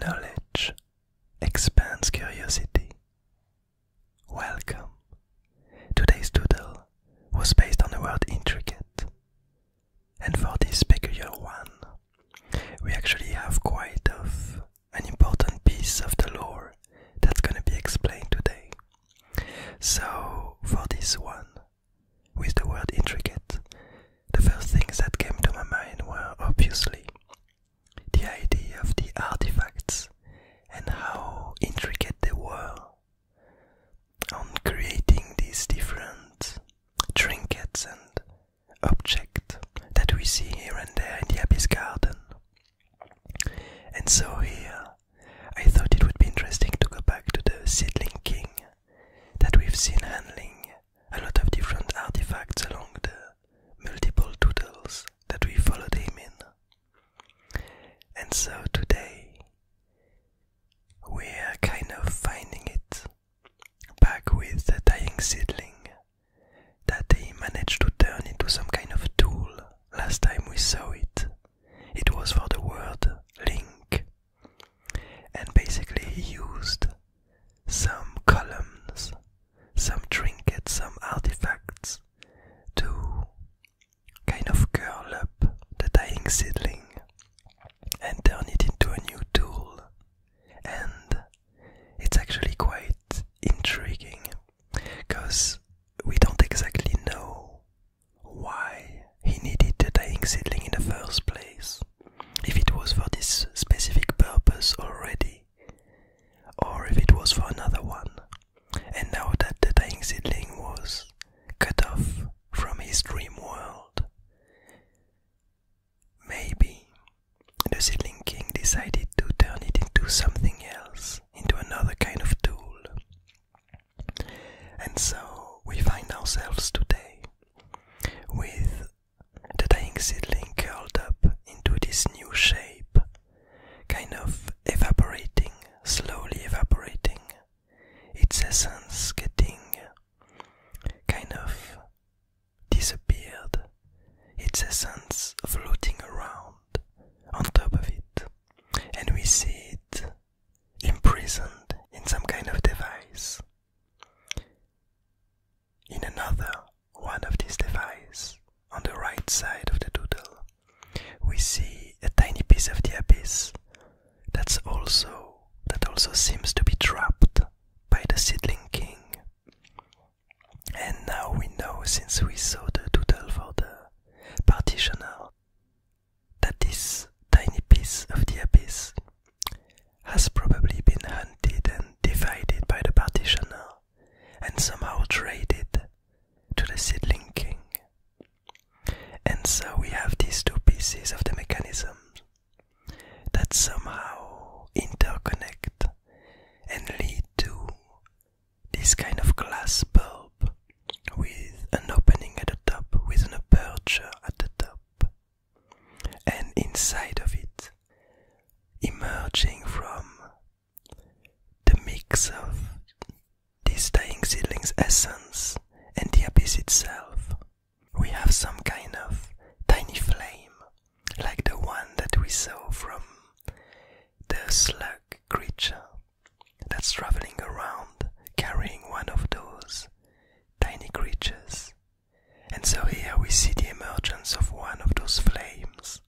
Knowledge expands curiosity. Welcome. Today's doodle was based on the word intricate. And for this peculiar one, we actually have quite of an important piece of the lore that's going to be explained today. So, for this one, with the word intricate, the first things that came to my mind were obviously the idea of the artifacts and how intricate they were on creating these different trinkets and objects that we see here and there in the Abbey's Garden. And so here I thought it would be interesting to go back to the Seedling King that we've seen handling a lot of different artifacts along the multiple doodles that we followed him in. And so today we're kind of finding it back with the dying seedling that he managed to turn into some kind of tool last time we saw it. It was for the word link and basically, he used some columns, some trinkets, some artifacts to kind of curl up the dying seedling and turn it into a new tool. And it's actually quite intriguing because we don't exactly know why he needed the dying seedling in the first place, if it was for this specific purpose already, or if it was for another one. And now that the dying seedling was cut off from his dream world, maybe the seedling king decided to turn it into something else, into another kind of tool. And so we find ourselves today with the dying seedling curled up into this new shape, kind of evaporating, slowly evaporating, its essence getting kind of disappeared, its essence floating around on top of it, and we see it imprisoned in some kind of device. In another one of these devices, on the right side of the doodle, we see a tiny piece of the abyss that's also that also seems to be trapped by the seedling king. And now we know since we saw the doodle for the partitioner that this tiny piece of the abyss has probably been hunted and divided by the partitioner and somehow traded to the seedling king. And so we have these two pieces of the mechanism that somehow interconnect and lead to this kind of glass bulb with an opening at the top, with an aperture at the top and inside of it, emerging from the mix of this dying seedling's essence and the abyss itself, we have some kind of tiny flame, like the one that we saw from the slug creature that's traveling around carrying one of those tiny creatures. And so here we see the emergence of one of those flames,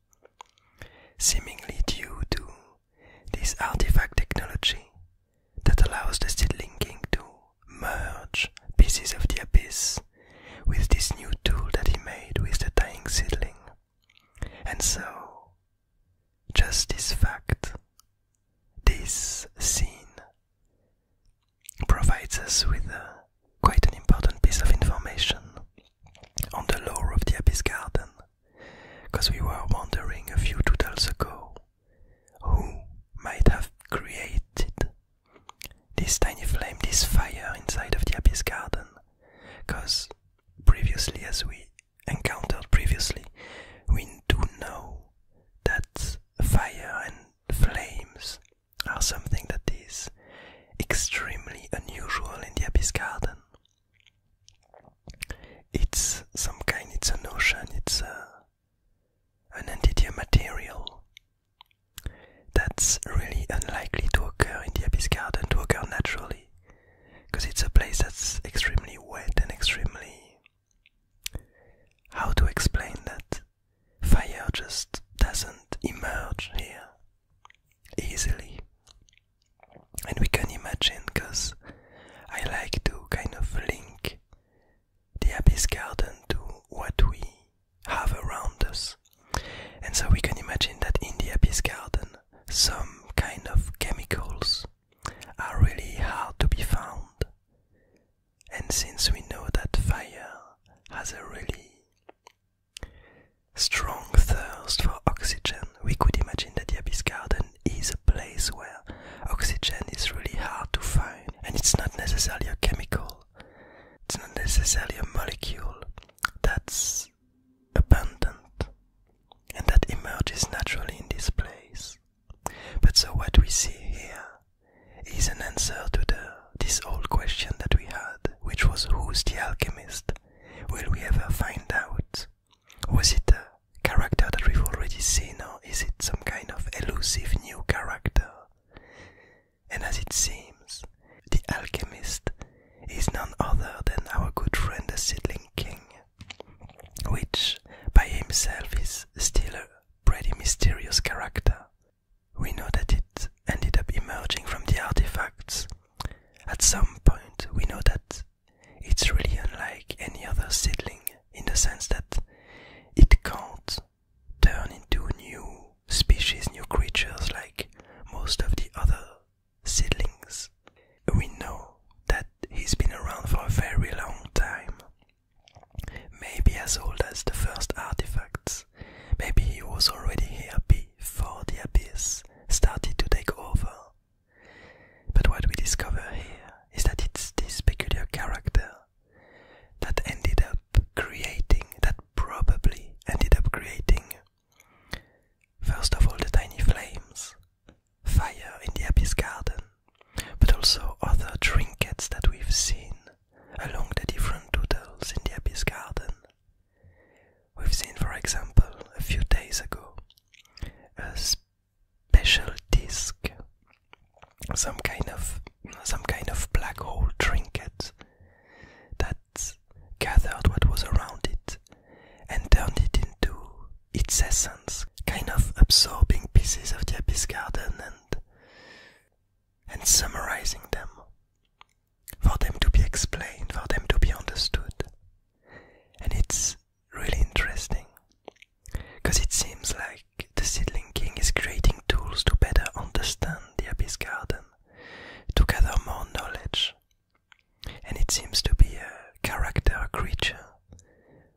seemingly due to this artifact technology that allows the Seedling King to merge pieces of the abyss with this new tool that he made with the dying seedling. And so, just this fact this scene provides us with quite an important piece of information on the lore of the Abyss Garden, because we were wondering a few doodles ago who might have created this tiny flame, this fire inside of the Abyss Garden, because previously, as we encountered previously, we do know that fire and flames are something that is extremely unusual in the Abyss Garden. It's some kind, it's a notion, it's an entity, material that's really unlikely to occur in the Abyss Garden, to occur naturally, because it's a place that's extremely wet and extremely how to explain that fire just doesn't emerge here easily? And we can imagine because I like to kind of link the abyss garden to what we have around us. And so we can imagine that in the abyss garden, some kind of chemicals are really hard to be found. And since we know that fire has a really strong thirst for oxygen, we could imagine that the Abyss Garden is a place where oxygen is really hard to find. And it's not necessarily a chemical, it's not necessarily a molecule that's abundant and that emerges naturally in this place. But so what we see here is an answer to the, this old question that we had, which was who's the alchemist? Will we ever find out? Was it a character that we've already seen, or is it some kind of elusive new character? And as it seems, the alchemist is none other than our good friend the Seedling King, which by himself is still a pretty mysterious character. We know that it ended up emerging from the artifacts. At some point, we know that it's really unlike any other seedling in the sense that it can't turn into new species, new creatures like most of the other seedlings. We know that he's been around for a very long time, maybe as old as the first artifacts. Maybe he was already here before the abyss started to take over. But what we discover here is that it's this peculiar character that ended up creating, that probably ended up creating, first of all, the tiny flames, fire in the Abyss Garden, but also other trinkets that we've seen along the different doodles in the Abyss Garden. We've seen, for example, a few days ago, a special disc, some kind of some kind of black hole trinket that gathered what was around it and turned it into its essence, kind of absorbing pieces of the Abyss Garden and, and summarizing them, for them to be explained, for them to be understood. And it's really interesting, because it seems like the Seedling King is creating tools to better understand the Abyss Garden, to gather more knowledge and it seems to be a character creature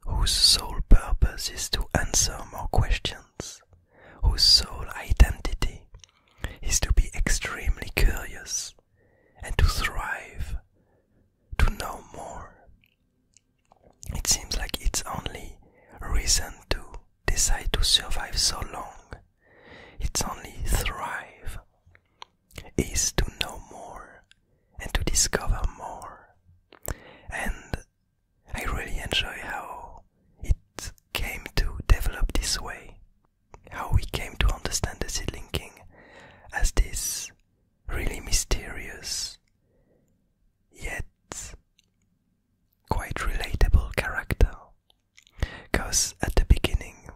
whose sole purpose is to answer more questions, whose sole identity is to be extremely curious and to thrive, to know more. It seems like its only reason to decide to survive so long, it's only thrive is to know more and to discover more. And I really enjoy how it came to develop this way, how we came to understand the seed linking as this really mysterious yet quite relatable character. Because at the beginning,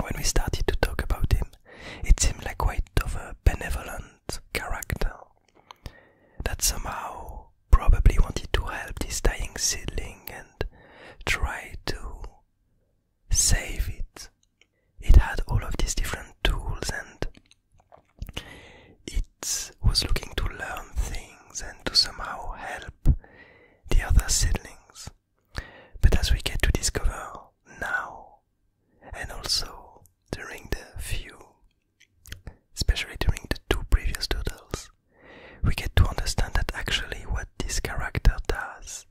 when we started to talk about him, it seemed like quite of a benevolent character that somehow probably wanted to help this dying seedling and try to save it. It had all of these different tools and it was looking to learn things and to somehow help the other seedlings. But as we get to discover now, and also during the few, especially during the two previous doodles, we get to understand that actually what this character does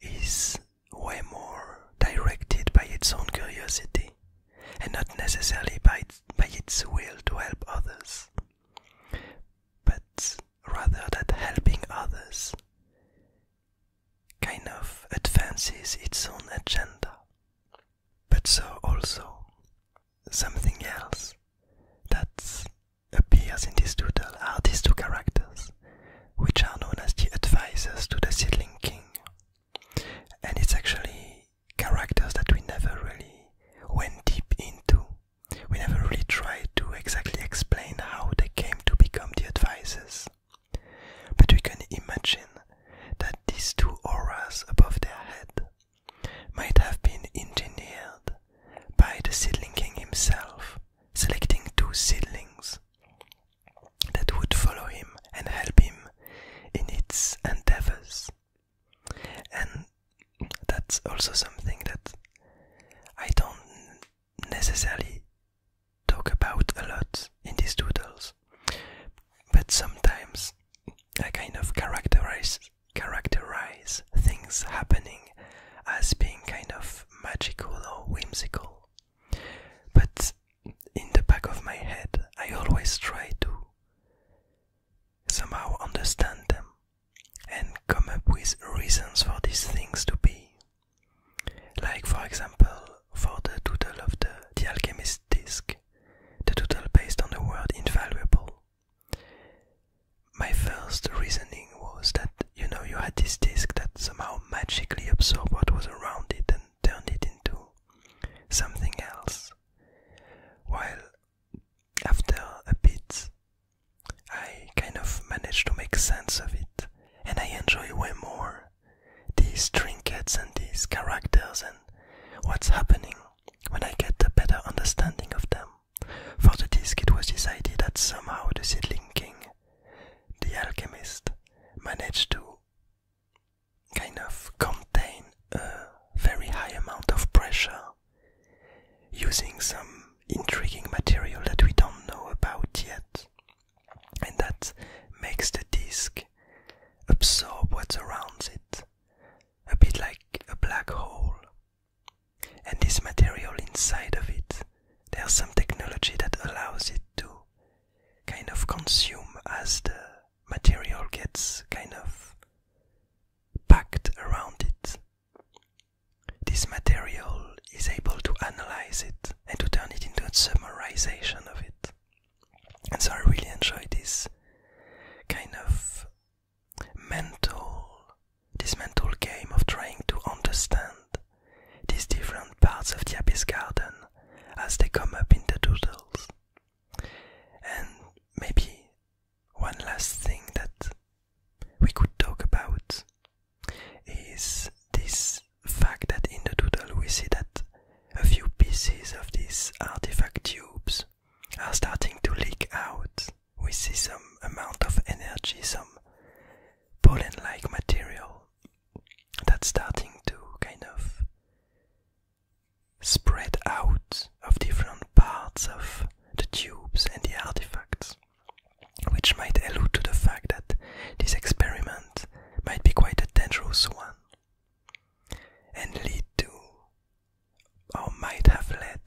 is way more directed by its own curiosity and not necessarily by its, by its will to help others but rather that helping others kind of advances its own agenda. But so also something else that appears in this doodle are these two characters, which are known as the advisors to the seedling king. And it's actually characters that we never really went deep into we never really tried to exactly explain how they came to become the advisors. But we can imagine that these two auras above their head might have been engineered by the seedling king himself, selecting two seedlings that would follow him and help him in its endeavors that's also something that I don't necessarily talk about a lot in these doodles, but sometimes I kind of characterize characterize things happening as being kind of magical or whimsical. But in the back of my head, I always try to somehow understand them and come up with reasons for these things to be. Like, for example, for the total of the, the alchemist disk, the total based on the word invaluable. My first reasoning was that you know you had this disk that somehow magically absorbed what was around it and turned it into something else. While after a bit, I kind of managed to make sense of it, and I enjoy way more these trinkets and these characters and what's happening when I get a better understanding of them. For the disc, it was decided that somehow the Seedling King, the alchemist, managed to kind of contain a very high amount of pressure using some intriguing material that we don't know about yet, and that makes the disk absorb what surrounds it, a bit like a black hole. And this material inside of it, there's some technology that allows it to kind of consume as the material gets kind of packed around it. This material is able to analyze it and to turn it into a summarization of it. And so I really enjoy this kind of mental, this mental game of trying to understand these different parts of the Abyss Garden as they come up in the doodles. And maybe one last thing that we could talk about is this fact that in the total we see that a few pieces of these artifact tubes are starting to leak out. We see some amount of energy, some pollen like material that's starting to kind of spread out of different parts of the tubes and the artifacts, which might allude to the fact that this experiment might be quite a dangerous one and lead to, or might have led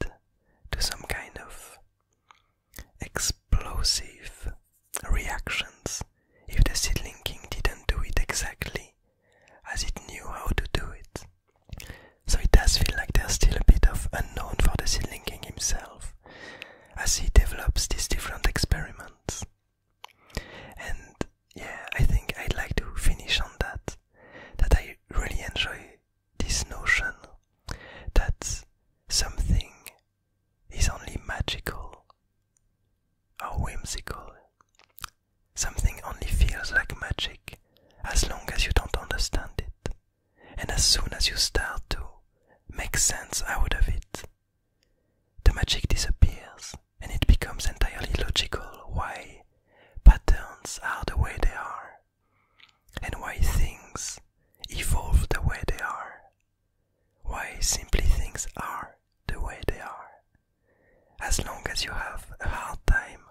to, some kind of explosive reactions if the seedling king didn't do it exactly as it knew how to do it. So it does feel like there's still a bit of unknown for the seedling king himself as he develops these different experiments. And yeah, I think I'd like to finish on that. That I really enjoy this notion that something is only magical or whimsical Something only feels like magic as long as you don't understand it, and as soon as you start to make sense out of it, the magic disappears and it becomes entirely logical why patterns are the way they are and why things evolve the way they are, why simply things are the way they are. As long as you have a hard time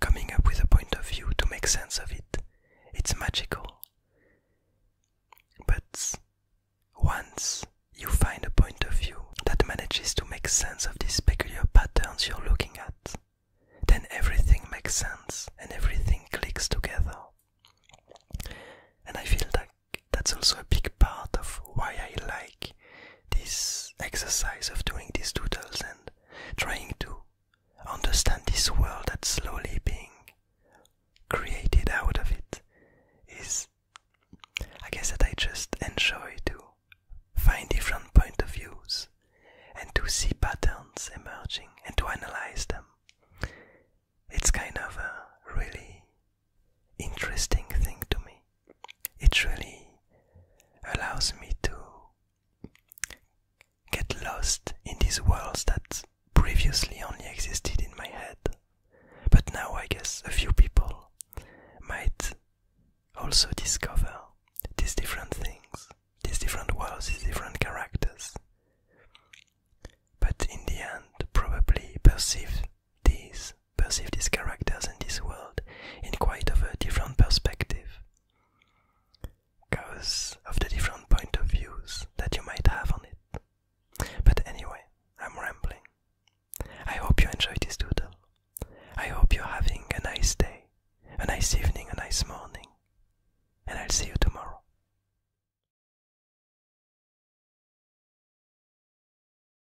coming up with a point of view to make sense of it, it's magical. But once you find a point of view that manages to make sense of these peculiar patterns you're looking at, then everything makes sense and everything clicks together. And I feel like that's also a big part of why I like this exercise of doing these doodles and trying to understand this world that's slowly being created out of it is I guess that I just enjoy to find different point of views and to see patterns emerging and to analyze them. It's kind of a really interesting thing to me it really allows me to get lost in these worlds that previously only existed in my head. But now I guess a few people might also discover these different things, these different worlds, these different characters. But in the end, probably perceive these perceive these characters and this world in quite of a different perspective because of the different point of views that you might have on it. But anyway, I'm rambling. I hope you enjoyed this tutorial. I hope you're having a nice day, a nice evening, a nice morning, and I'll see you tomorrow.